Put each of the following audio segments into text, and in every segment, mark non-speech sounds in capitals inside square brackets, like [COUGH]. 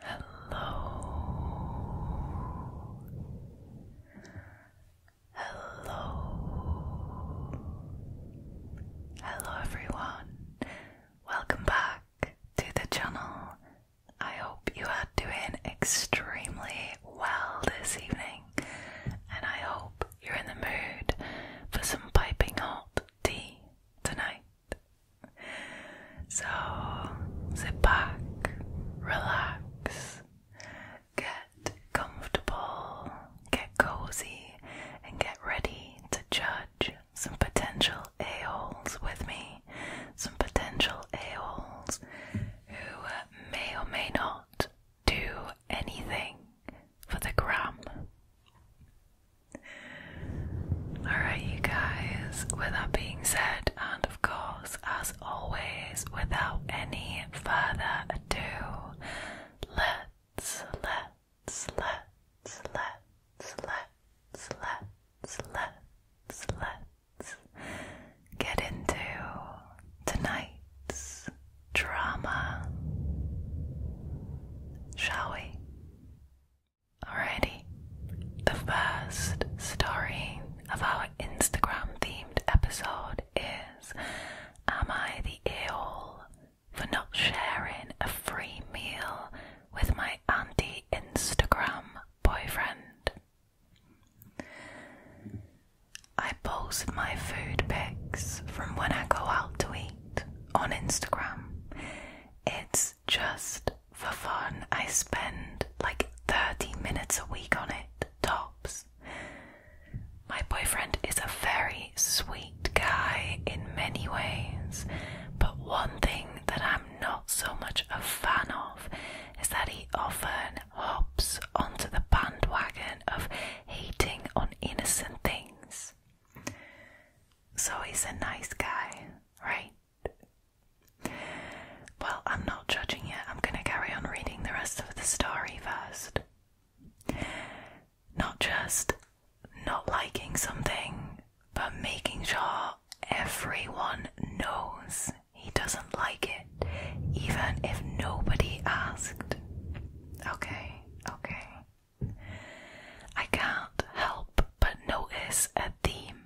Hello. Hello. Hello, everyone. Welcome back to the channel. I hope you are doing extremely well this evening, and I hope you're in the mood for some piping hot tea tonight so sit back, relax, get comfortable, get cozy, and get ready to judge some potential a-holes with me, some potential a-holes who may or may not do anything for the gram. Alright, you guys, with that being said, and of course, as always, without any further ado, let's, let's, let's, let's, let's, let's, let's, let's get into tonight's drama, shall we? Alrighty, the first story of our Instagram themed episode is Am I the a hole for not sharing a free meal with my anti Instagram boyfriend? I post my food pics from when I go out to eat on Instagram. It's just for fun. I spend like 30 minutes a week on it, tops. My boyfriend is a very sweet guy in many ways, but one thing that I'm not so much a fan of is that he often hops onto the bandwagon of hating on innocent things. So he's a nice guy, right? Well, I'm not judging yet. I'm going to carry on reading the rest of the story first. Not just not liking something, but making sure everyone knows he doesn't like it, even if nobody asked. Okay, okay. I can't help but notice a theme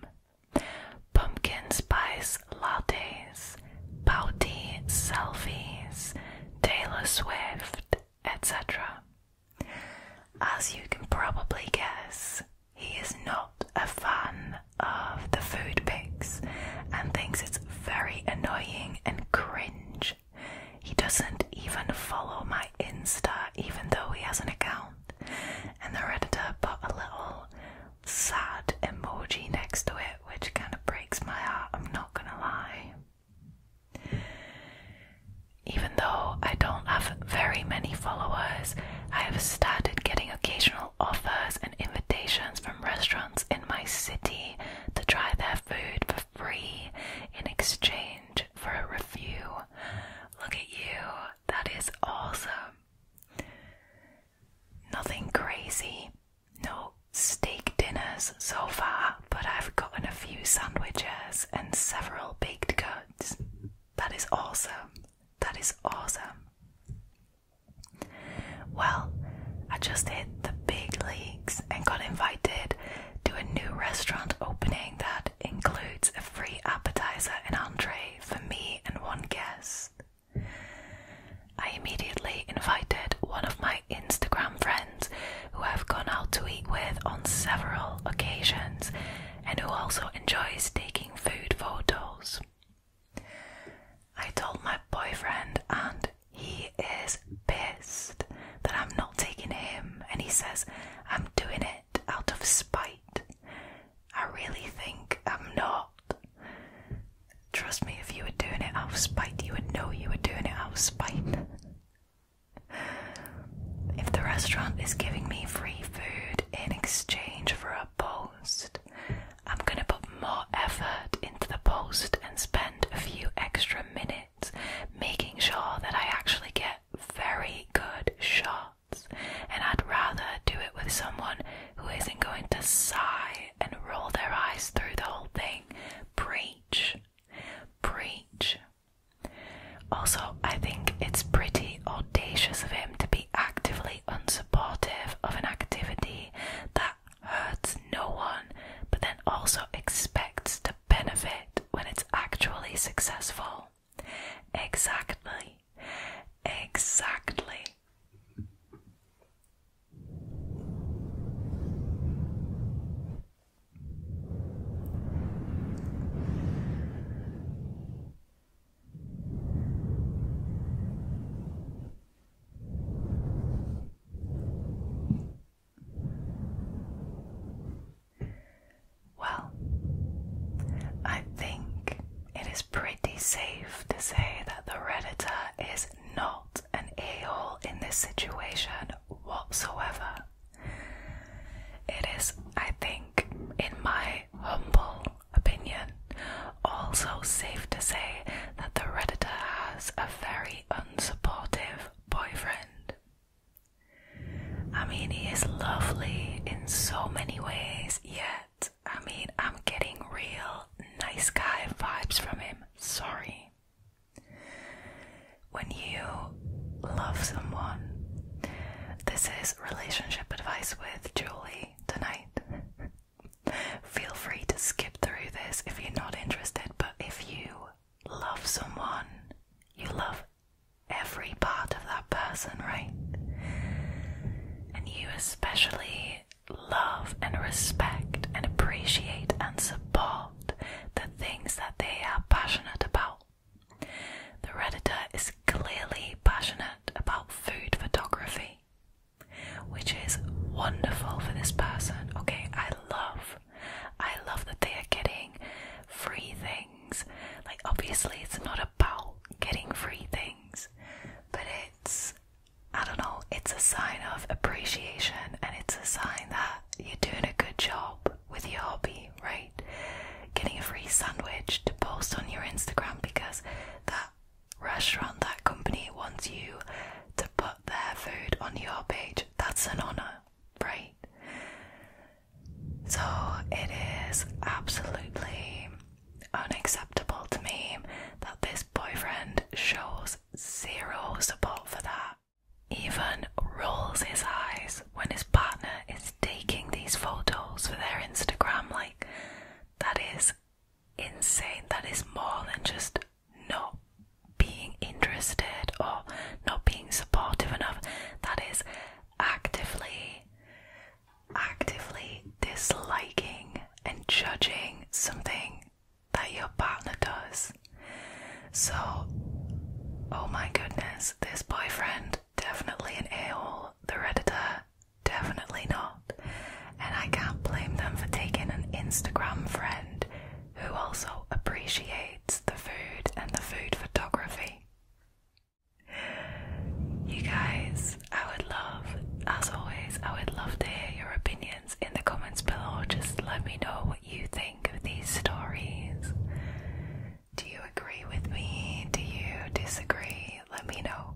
pumpkin spice lattes, pouty selfies, Taylor Swift, etc. As you can probably guess, he is not a fan of the food pics and thinks it's very annoying and cringe. He doesn't even follow my Insta, even though he has an account and the editor put a little sad emoji next to it, which kind of breaks my heart, I'm not gonna lie. Even though I don't have very many followers, I have started getting occasional offers and invitations from restaurants in my city to try their food for free in exchange for a review. Look at you, that is awesome. Nothing crazy, no steak dinners so far, but I've gotten a few sandwiches and several baked goods. That is awesome. That is awesome. Well, I just hit the big leagues and got invited to a new restaurant opening that includes a free appetizer and entree for me and one guest. I immediately invited one of my Instagram friends who I've gone out to eat with on several occasions and who also enjoys taking food photos. I told my boyfriend, and he is pissed that I'm not taking him, and he says I'm doing it out of spite. I really think I'm not. Trust me, if you were doing it out of spite, you would know you were doing it out of spite. if the restaurant is giving me free food in exchange for a post, I'm gonna put more effort into the post and spend a few extra minutes making sure that I actually get very good shots and I'd rather do it with someone who isn't going to sigh and roll their eyes through the whole thing. Preach. Preach. Also, I think it's pretty audacious of him to be actively unsupportive of an activity that hurts no one, but then also expects to benefit when it's actually successful. Exactly. Exactly. Well, I think it is pretty safe to say that the Redditor is not an a hole in this situation whatsoever. It is, I think, in my humble opinion, also safe to say that the Redditor has a very unsupportive boyfriend. I mean, he is lovely in so many ways, yet, I mean, I'm getting real nice guy vibes from him. Sorry. When you love someone, this is relationship advice with Julie tonight. [LAUGHS] Feel free to skip through this if you're not interested, but if you love someone, you love every part of that person, right? And you especially love and respect and appreciate and support the things that they are passionate about. The Redditor is clearly passionate about food photography, which is wonderful for this person. Okay, I love, I love that they are getting free things like, obviously, it's not about getting free things, but it's, I don't know, it's a sign of appreciation and it's a sign that you're doing a good job with your hobby, right? Getting a free sandwich to post on your Instagram because that restaurant, that company wants you to put their food on your page. That's an honor, right? So it is absolutely unacceptable to me that this boyfriend shows zero support for that. Even rolls his eyes when his partner is taking these photos for their Instagram. Like, that is insane. That is more than just not being interested or not being supportive enough. That is actively actively disliking and judging something that your partner does. So oh my goodness, this boyfriend definitely an a-hole, the redditor definitely not. And I can't blame them for taking an Instagram friend who also appreciates the food and the food photography. You guys, I would love, as always, I would love to hear your opinions in the comments below. Just let me know what you think of these stories. Do you agree with me? Do you disagree? Let me know.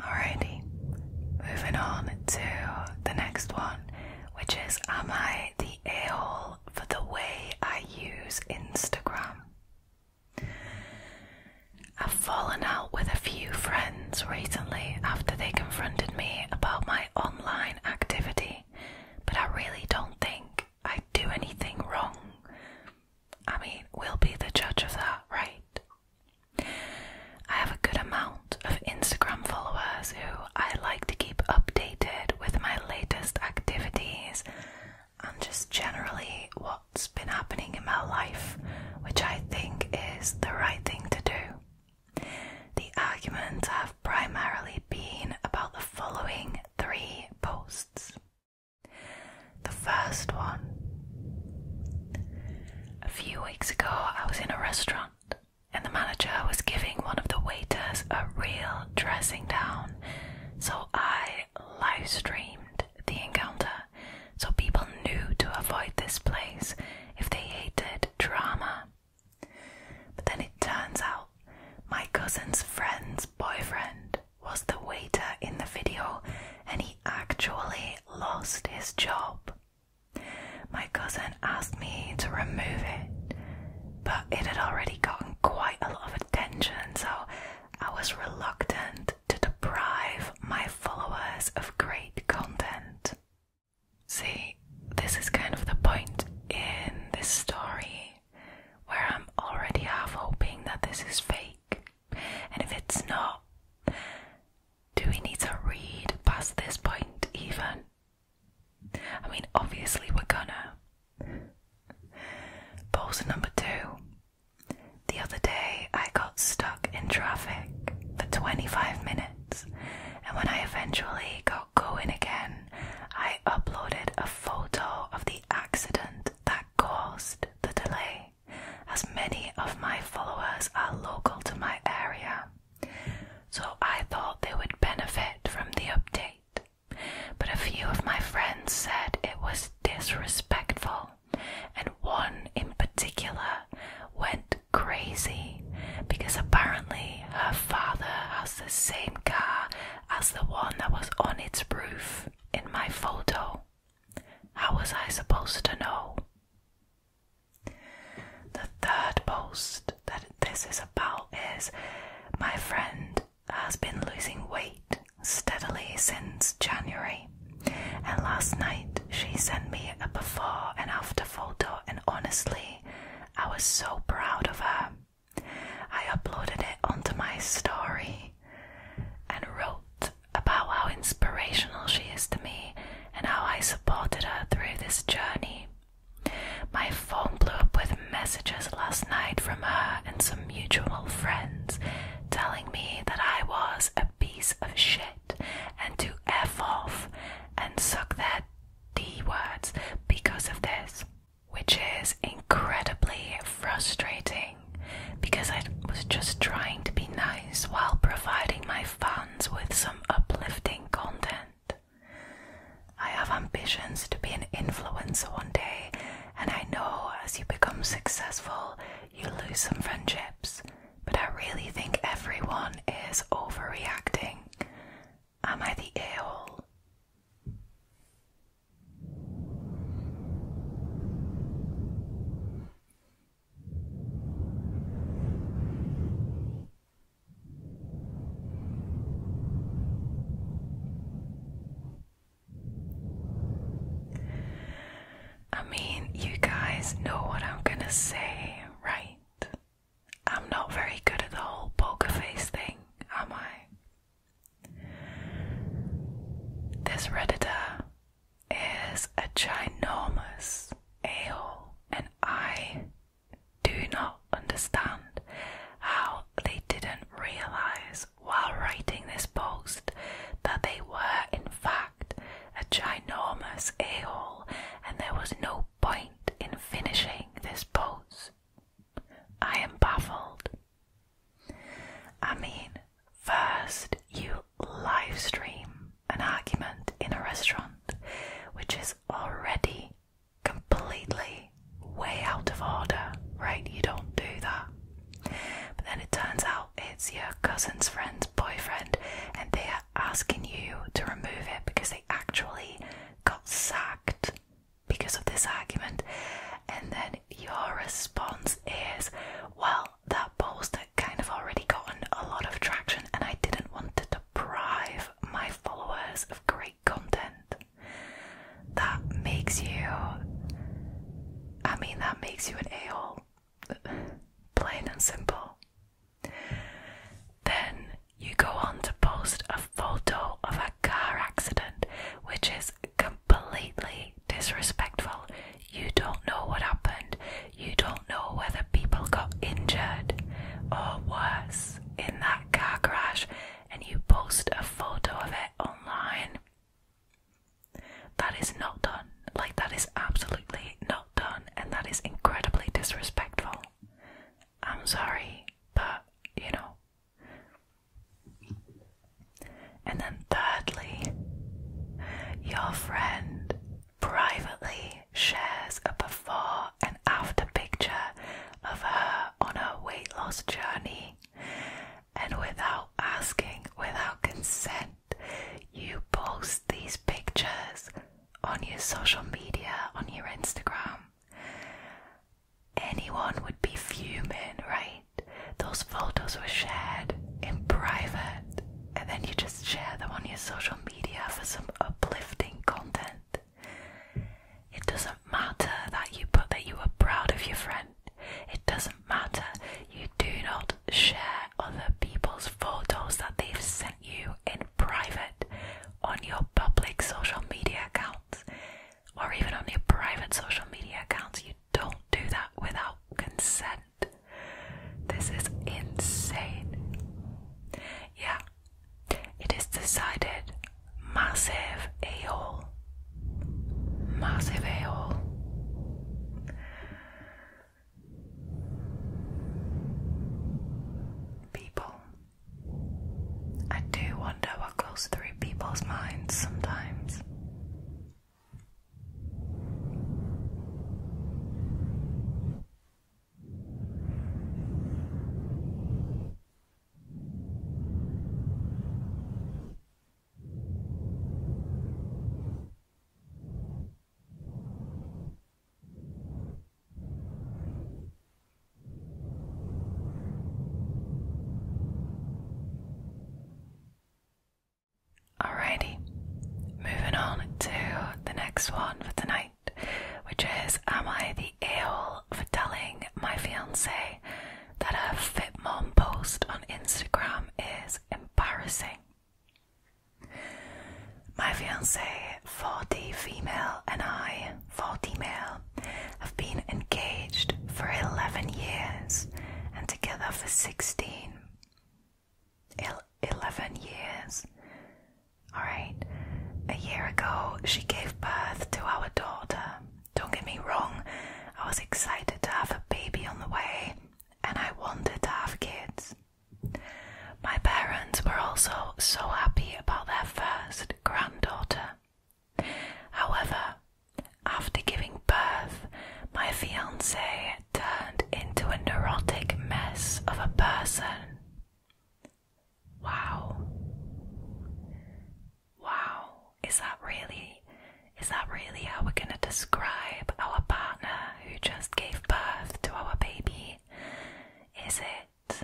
Alrighty, moving on to the next one, which is Am I the a hole? for the way I use Instagram. I've fallen out with a few friends recently after they confronted me about my online activity, but I really don't think I do anything wrong. I mean, we'll be the judge of that, right? I have a good amount of Instagram followers who I like to keep updated with my latest activities and just generally what's been happening in my life, which I think is the right thing to do. The arguments have primarily been about the following three posts. The first one a few weeks ago, I was in a restaurant. And the manager was giving one of the waiters a real dressing down so I live streamed the encounter so people knew to avoid this place if they hated drama. But then it turns out my cousin's friend's boyfriend was the waiter in the video and he actually lost his job. My cousin asked me to remove it, but it had already gotten quite a lot of attention attention, so I was reluctant to deprive my followers of great content. See, this is kind of the point in this story where I'm already half hoping that this is fake. And if it's not, do we need to read past this point even? I mean, obviously, we're gonna. Pause [LAUGHS] number two. The other day I got stuck in traffic for 25 minutes, and when I eventually got going again, I uploaded a photo of the accident that caused the delay, as many of my followers are local to my area. So I thought they would benefit from the update. But a few of my friends said it was disrespectful, and one in particular went crazy because apparently her father has the same car as the one that was on its roof in my photo. How was I supposed to know? The third post that this is about is my friend has been losing weight steadily since January, and last night she sent me a before and after photo, and honestly, I was so proud of her. I uploaded it onto my story and wrote about how inspirational she is to me and how I supported her through this journey my phone blew up with messages last night from her and some mutual friends telling me that I was a piece of shit and to F off and suck their D words because of this, which is incredibly frustrating because I was just trying to be nice while providing my fans with some uplifting content. I have ambitions to be an influencer one day, and I know as you become successful, you lose some friendships, but I really think everyone is overreacting. Am I the a hole? I mean, you guys know what I'm gonna say, right? I'm not very good at the whole poker face thing, am I? This Redditor is a ginormous a hole, and I do not understand how they didn't realize while writing this post that they were, in fact, a ginormous a hole and there was no point in finishing this post. I am baffled. I mean, first you livestream an argument in a restaurant, which is already completely way out of order, right? You don't do that. But then it turns out it's your cousin's friend's boyfriend, and they are asking you to remove it because they actually got sacked because of this argument. And then your response is, Well, that poster kind of already gotten a lot of traction, and I didn't want to deprive my followers of great content that makes you I mean that makes you an a-hole plain and simple then you go on to post a photo of a car accident which is completely disrespectful you don't know what happened you don't know whether people got injured or worse in that car crash and you post a photo of it online. That is not done. Like, that is absolutely not done, and that is incredibly disrespectful. I'm sorry, but you know. And then, thirdly, your friend privately shares a before and after picture of her on her weight loss journey. And without asking, without consent, you post these pictures on your social media, on your Instagram. Anyone would be fuming, right? Those photos were shared in private, and then you just share them on your social media for some uplifting content. It doesn't matter that you put that you were proud of your friend. It doesn't matter. You do not share other people's photos that they've sent you in private on your public social media accounts or even on your private social media accounts. You don't do that without consent. This is insane. Yeah, it is decided massive a hole. Massive a hole. People. I do wonder what goes through people's minds sometimes. Alrighty, moving on to the next one for tonight which is Am I the a-hole for telling my fiance that a fit mom post on Instagram is embarrassing? My fiance, 40 female, and I, 40 male, have been engaged for 11 years and together for 16. 11 years. Alright, a year ago, she gave birth to our daughter. Don't get me wrong, I was excited to have a baby on the way and I wanted to have kids. My parents were also so happy about their first granddaughter. However, after giving birth, my fiance turned into a neurotic mess of a person. Wow. Wow. Is that really is that really how we're gonna describe our partner who just gave birth to our baby? Is it?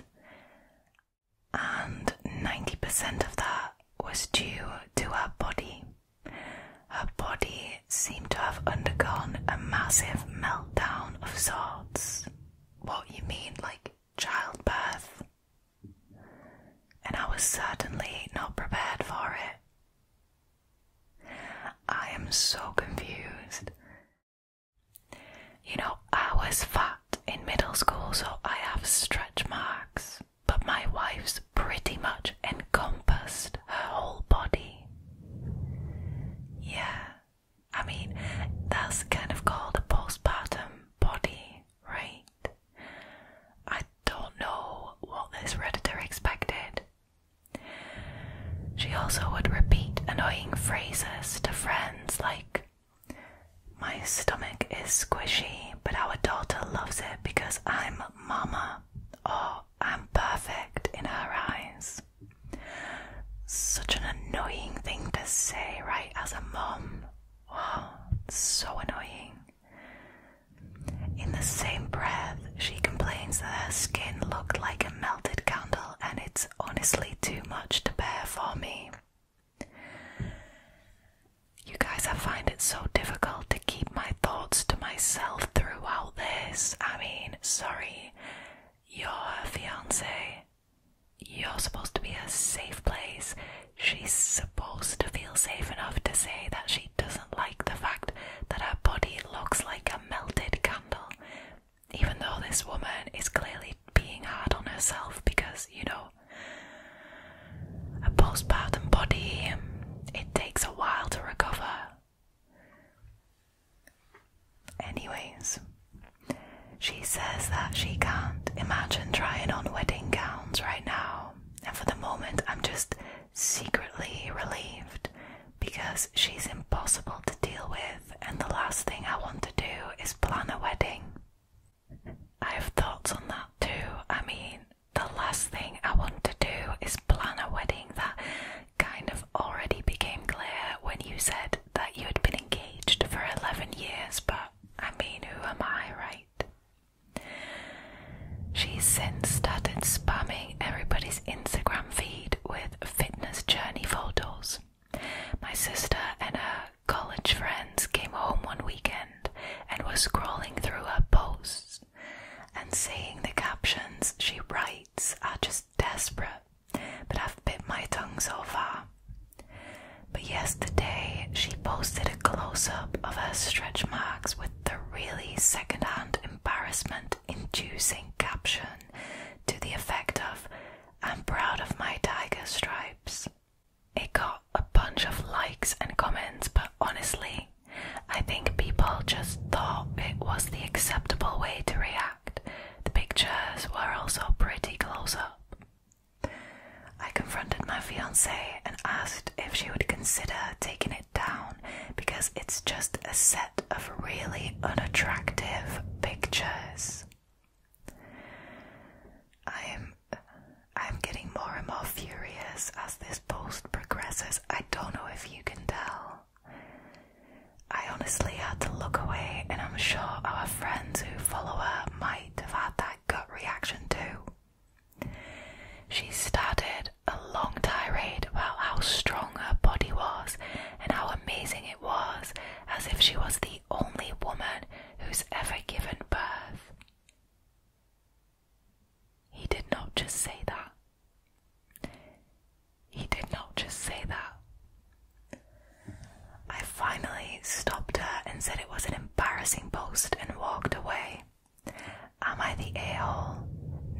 And 90% of that was due to her body. Her body seemed to have undergone a massive meltdown of sorts. What you mean, like childbirth, and I was certainly not prepared for it. I am so confused. You know, I was fat in middle school, so I have stretch marks, but my wife's pretty much encompassed her whole body. Yeah, I mean, that's kind of called a postpartum body, right? I don't know what this Redditor expected. She also would repeat annoying phrases to friends like, My stomach is squishy, but our daughter loves it because I'm mama, or oh, I'm perfect in her eyes. Such an annoying thing to say, right, as a mom. Wow, so annoying. In the same breath, she complains that her skin looked like a melted candle and it's honestly too much to bear for me. You guys, I find it so difficult to keep my thoughts to myself throughout this. I mean, sorry, you're her fiance you're supposed to be a safe place. She's supposed to feel safe enough to say that she doesn't like the fact that her body looks like a melted candle, even though this woman is clearly being hard on herself because, you know, a postpartum body, it takes a while to recover. Anyways, she says that she can't imagine trying on wedding gowns right now, and for the moment, I'm just secretly relieved because she's impossible to deal with, and the last thing I want to do is plan a wedding. I have thoughts on that too. I mean, the last thing I want to do is plan a wedding. That kind of already became clear when you said that you had been engaged for 11 years, but I mean, who am I, right? She's since started spamming everybody's Instagram feed with fitness journey photos. My sister and her college friends came home one weekend and were scrolling through her posts and seeing the captions she writes are just desperate but I've bit my tongue so far. But yesterday she posted a close up of her stretch marks with the really second hand embarrassment inducing caption to the effect of, I'm proud of my tiger stripes. It got a bunch of likes and comments, but honestly, I think people just thought it was the acceptable way to react. The pictures were also pretty close up. I confronted my fiancée and asked if she would consider taking it down because it's just a set of really unattractive pictures. I'm I'm getting more and more furious as this post progresses. I don't know if you can tell. I honestly had to look away and I'm sure our friends who follow her have had that gut reaction too. She started a long tirade about how strong her body was and how amazing it was, as if she was the only woman who's ever given birth. He did not just say that. He did not just say that. I finally stopped her and said it was an embarrassing post and walked away. Am I the a hole?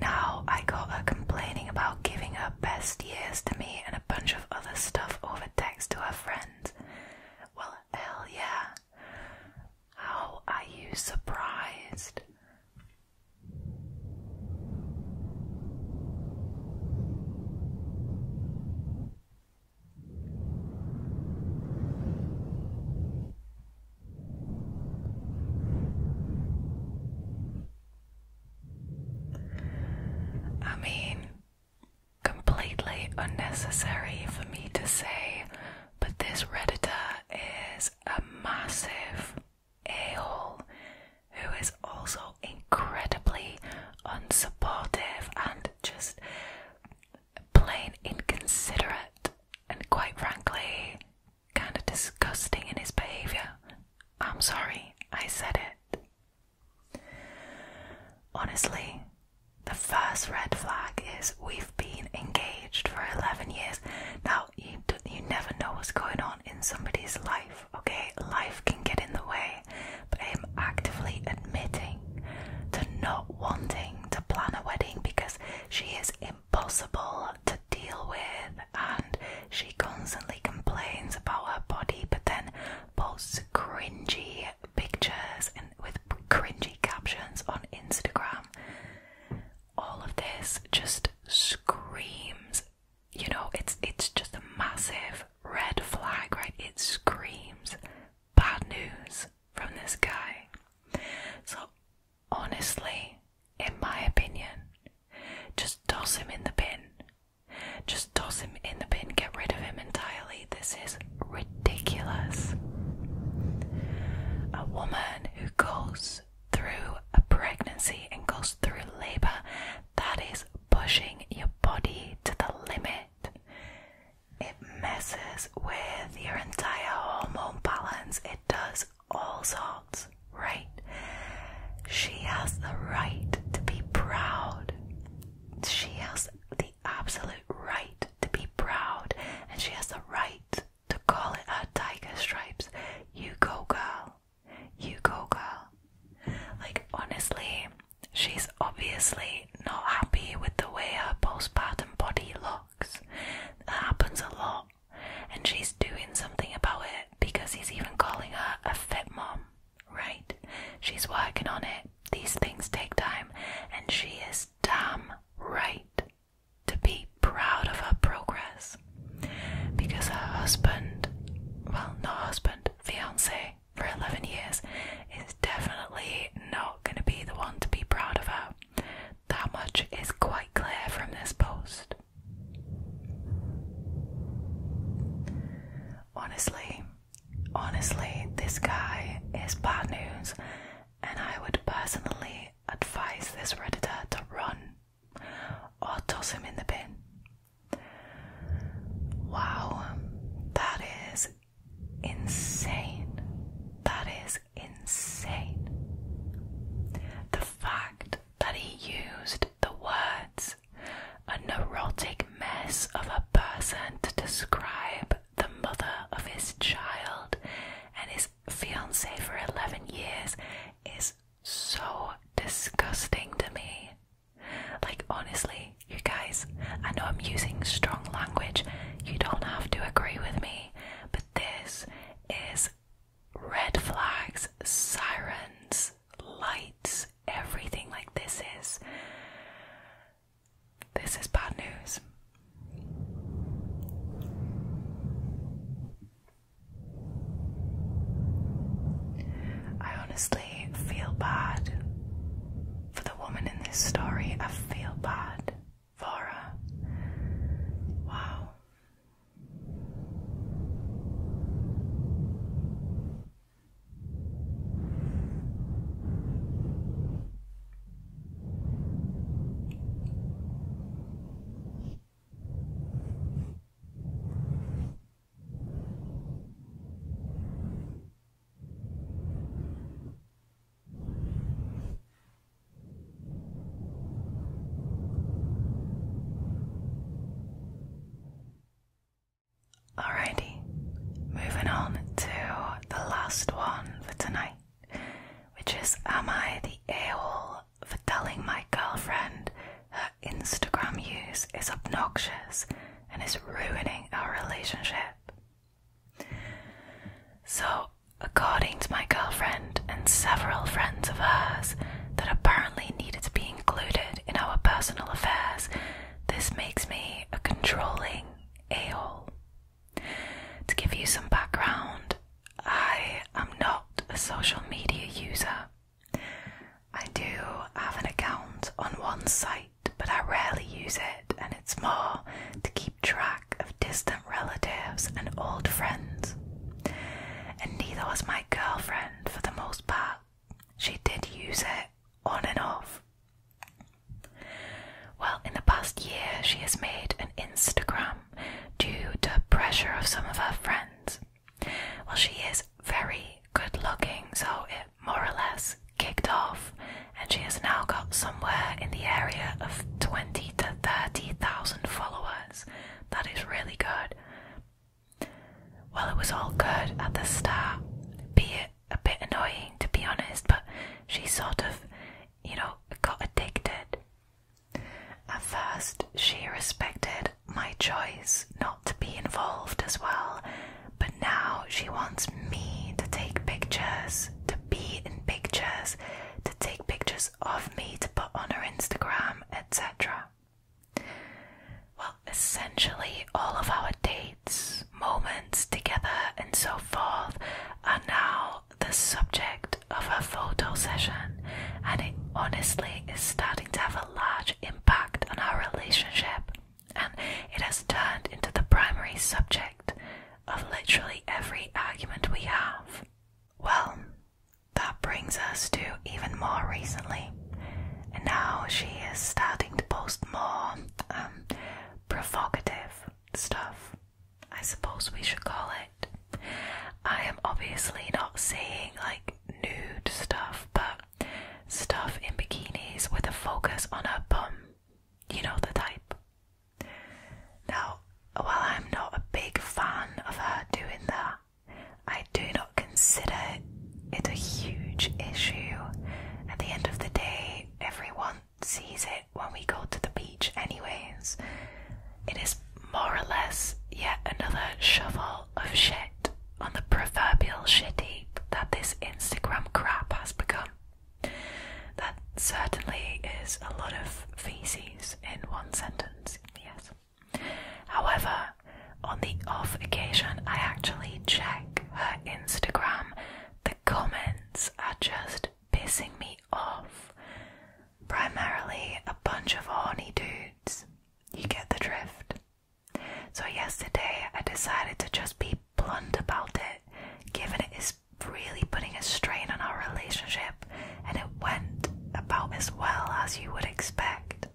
Now I got her complaining about giving her best years to me and a bunch of other stuff over text to her friends. Well, hell yeah. How are you surprised? I mean, completely unnecessary for me to say, but this Redditor is a massive a hole who is also incredibly unsupportive and just plain inconsiderate and quite frankly kind of disgusting in his behaviour. I'm sorry, I said it. Honestly, the first red flag is we've been engaged for 11 years. Now, you, you never know what's going on in somebody's life okay? Life can get in the way, but I am actively admitting to not wanting to plan a wedding because she is impossible to deal with and she constantly complains about her body but then posts cringy pictures and with cringy captions on Instagram. All of this just screams, you know, it's it's just a massive red flag, right? It screams bad news from this guy. So, honestly, in my opinion, just toss him in the bin. Just toss him in the bin, get rid of him entirely. This is ridiculous. A woman who goes through a pregnancy and goes through labor, that is pushing your body to the limit it. messes with your entire hormone balance. It does all sorts, right? She has the right to be proud. She has the absolute right to be proud, and she has the right to call it her tiger stripes. You go, girl. You go, girl. Like, honestly, She's obviously not happy with the way her postpartum body looks. That happens a lot, and she's doing something about it because he's even calling her a fit mom, right? She's working on it. These things take time, and she is damn right to be proud of her progress because her husband, well, not husband, fiance, for 11 years is definitely not going to be the one to be proud of. That much is quite clear from this post. Honestly, honestly, this guy is bad news, and I would personally advise this Redditor to run or toss him in the bin. Wow, that is insane. That is insane. The fact that he used the words a neurotic mess of a person to describe the mother of his child and his fiancée for 11 years is so disgusting to me. Like, honestly, you guys, I know I'm using strong language, you don't have to agree with me, but this is red flags, sirens, lights, everything like this is. This is bad news. I honestly really feel bad for the woman in this story. I feel bad for her. Wow. Alrighty, moving on to the last one for tonight, which is Am I the a-hole for telling my girlfriend Instagram use is obnoxious and is ruining our relationship. So, according to my girlfriend and several friends of hers that apparently needed to be included in our personal affairs, this makes me a controlling a hole. To give you some background, I am not a social media user. I do have an account on one site, but I rarely use it, and it's more to keep track of distant relatives and old friends. And neither was my girlfriend for the most part. She did use it on and off. Well, in the past year, she has made an Instagram due to pressure of some of her friends. Well, she is very good looking, so it more or less kicked off, and she has now got somewhere in the area of 20 to 30,000 followers. That is really good. Well, it was all good at the start, be it a bit annoying to be honest, but she sort of, you know, got addicted. At first, she respected my choice not to be involved as well, but now she wants me to take pictures, to be in pictures, to take pictures of me to put on her Instagram, etc. Well, essentially, all of our dates, moments together, and so forth are now the subject of a photo session, and it honestly is starting to have a large impact on our relationship and it has turned into the primary subject of literally every argument we have. Well, that brings us to even more recently, and now she is starting to post more um, provocative stuff. I suppose we should call it. I am obviously not saying like nude stuff, but stuff in bikinis with a focus on her bum. You know the type. Now, while I'm not a big fan of her doing that, I do not consider it a huge issue. At the end of the day, everyone sees it when we go to the beach, anyways. It is more or less yet another shovel of shit on the proverbial shit heap that this Instagram crap has become. That certainly is a lot of feces in one sentence, yes. However, on the off occasion I actually check her Instagram, the comments are just pissing me off. Primarily a bunch of horny dudes. You get the drift. So, yesterday I decided to just be blunt about it, given it is really putting a strain on our relationship, and it went about as well as you would expect.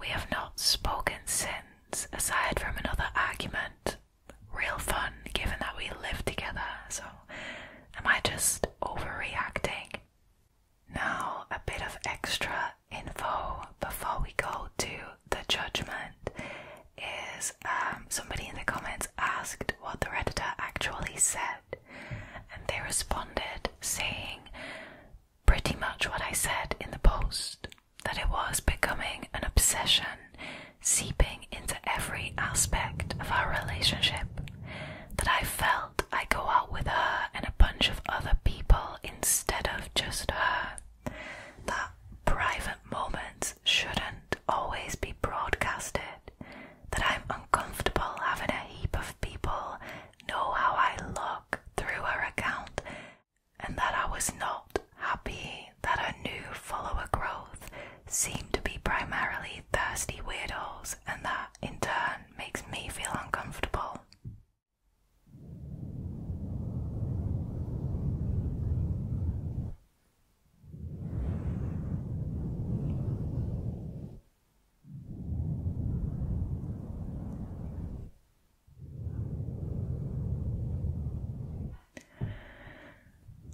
We have not spoken since, aside from another argument. Real fun, given that we live together, so am I just overreacting? Now, a bit of extra info before we go to the judgment is um, somebody in the comments asked what the editor actually said, and they responded saying pretty much what I said in the post that it was becoming an obsession seeping into every aspect of our relationship, that I felt I go out with her and a bunch of other people instead instead of just her. That private moments shouldn't always be broadcasted. That I'm uncomfortable having a heap of people know how I look through her account, and that I was not happy that her new follower growth seemed to be primarily thirsty weirdos, and that in turn makes me feel uncomfortable.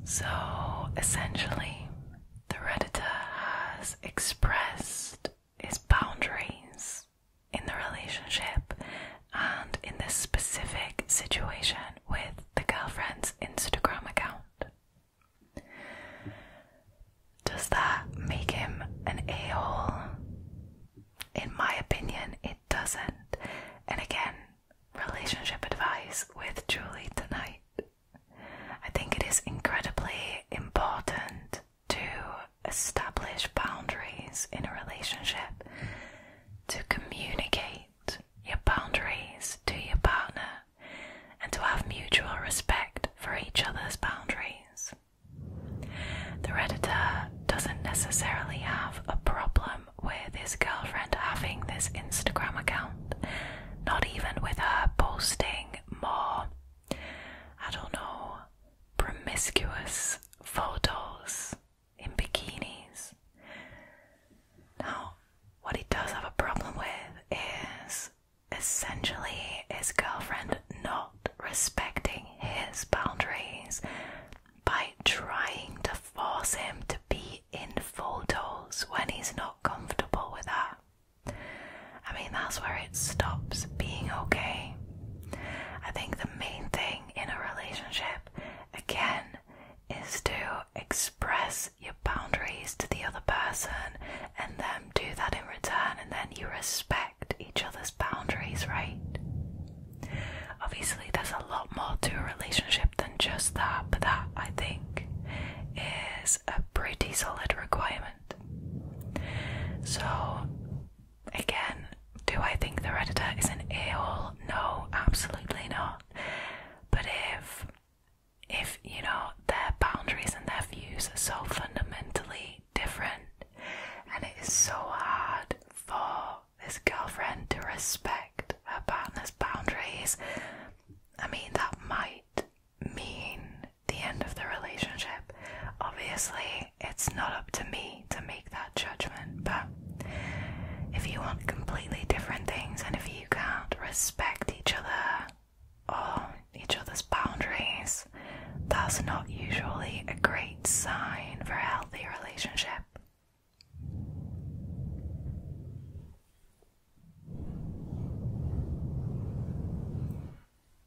So essentially, the Redditor has expressed is boundaries in the relationship and in this specific situation with the girlfriend's Instagram account. Does that make him an a hole? In my opinion, it doesn't. And again, relationship advice with Julie tonight. I think it is incredibly important to establish boundaries in a relationship, to communicate your boundaries to your partner, and to have mutual respect for each other's boundaries. The Redditor doesn't necessarily have a problem with his girlfriend having this Instagram account, not even with her posting more, I don't know, promiscuous photos in bikinis. Now, what he does have a problem with is essentially his girlfriend not respecting his boundaries by trying to force him to be in photos when he's not comfortable with that. I mean, that's where it stops being okay. I think the main thing in a relationship, again, is to express your boundaries to the other person and then do that in return, and then you respect each other's boundaries, right? Obviously, there's a lot more to a relationship than just that, but that I think is a pretty solid requirement. So, Again, do I think the Redditor is an a hole? No, absolutely not. But if if you know their boundaries and their views are so fundamentally different, and it is so hard for this girlfriend to respect her partner's boundaries, I mean that might mean the end of the relationship. Obviously, it's not up to me to make that judgment, but if you want completely different things and if you can't respect each other or each other's boundaries, that's not usually a great sign for a healthy relationship.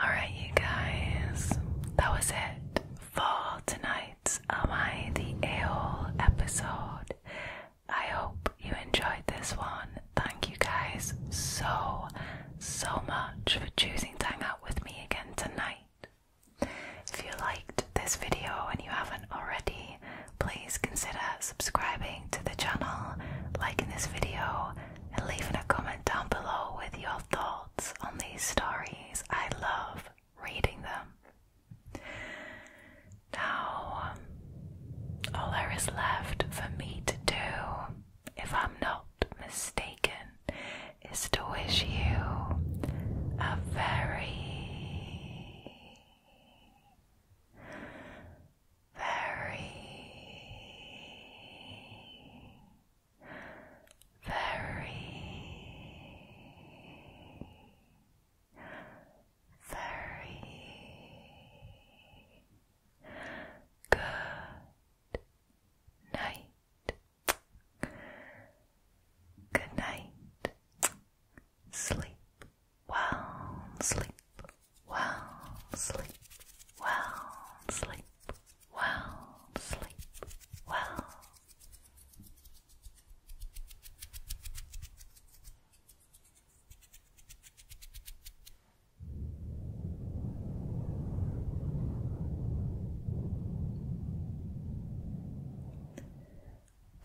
Alright, you guys, that was it for tonight Am my the A-Hole episode. I hope you enjoyed this one. Thank you guys so, so much for choosing to hang out with me again tonight. If you liked this video and you haven't already, please consider subscribing to the channel, liking this video, and leaving a comment down below with your thoughts on these stories. I love reading them. Now, um, all there is left for me to do, if I'm not mistaken, is to wish you a very, very very, very good night. Good night. Sleep well, sleep well, sleep well, sleep well, sleep well.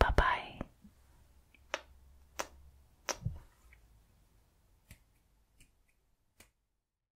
Bye bye.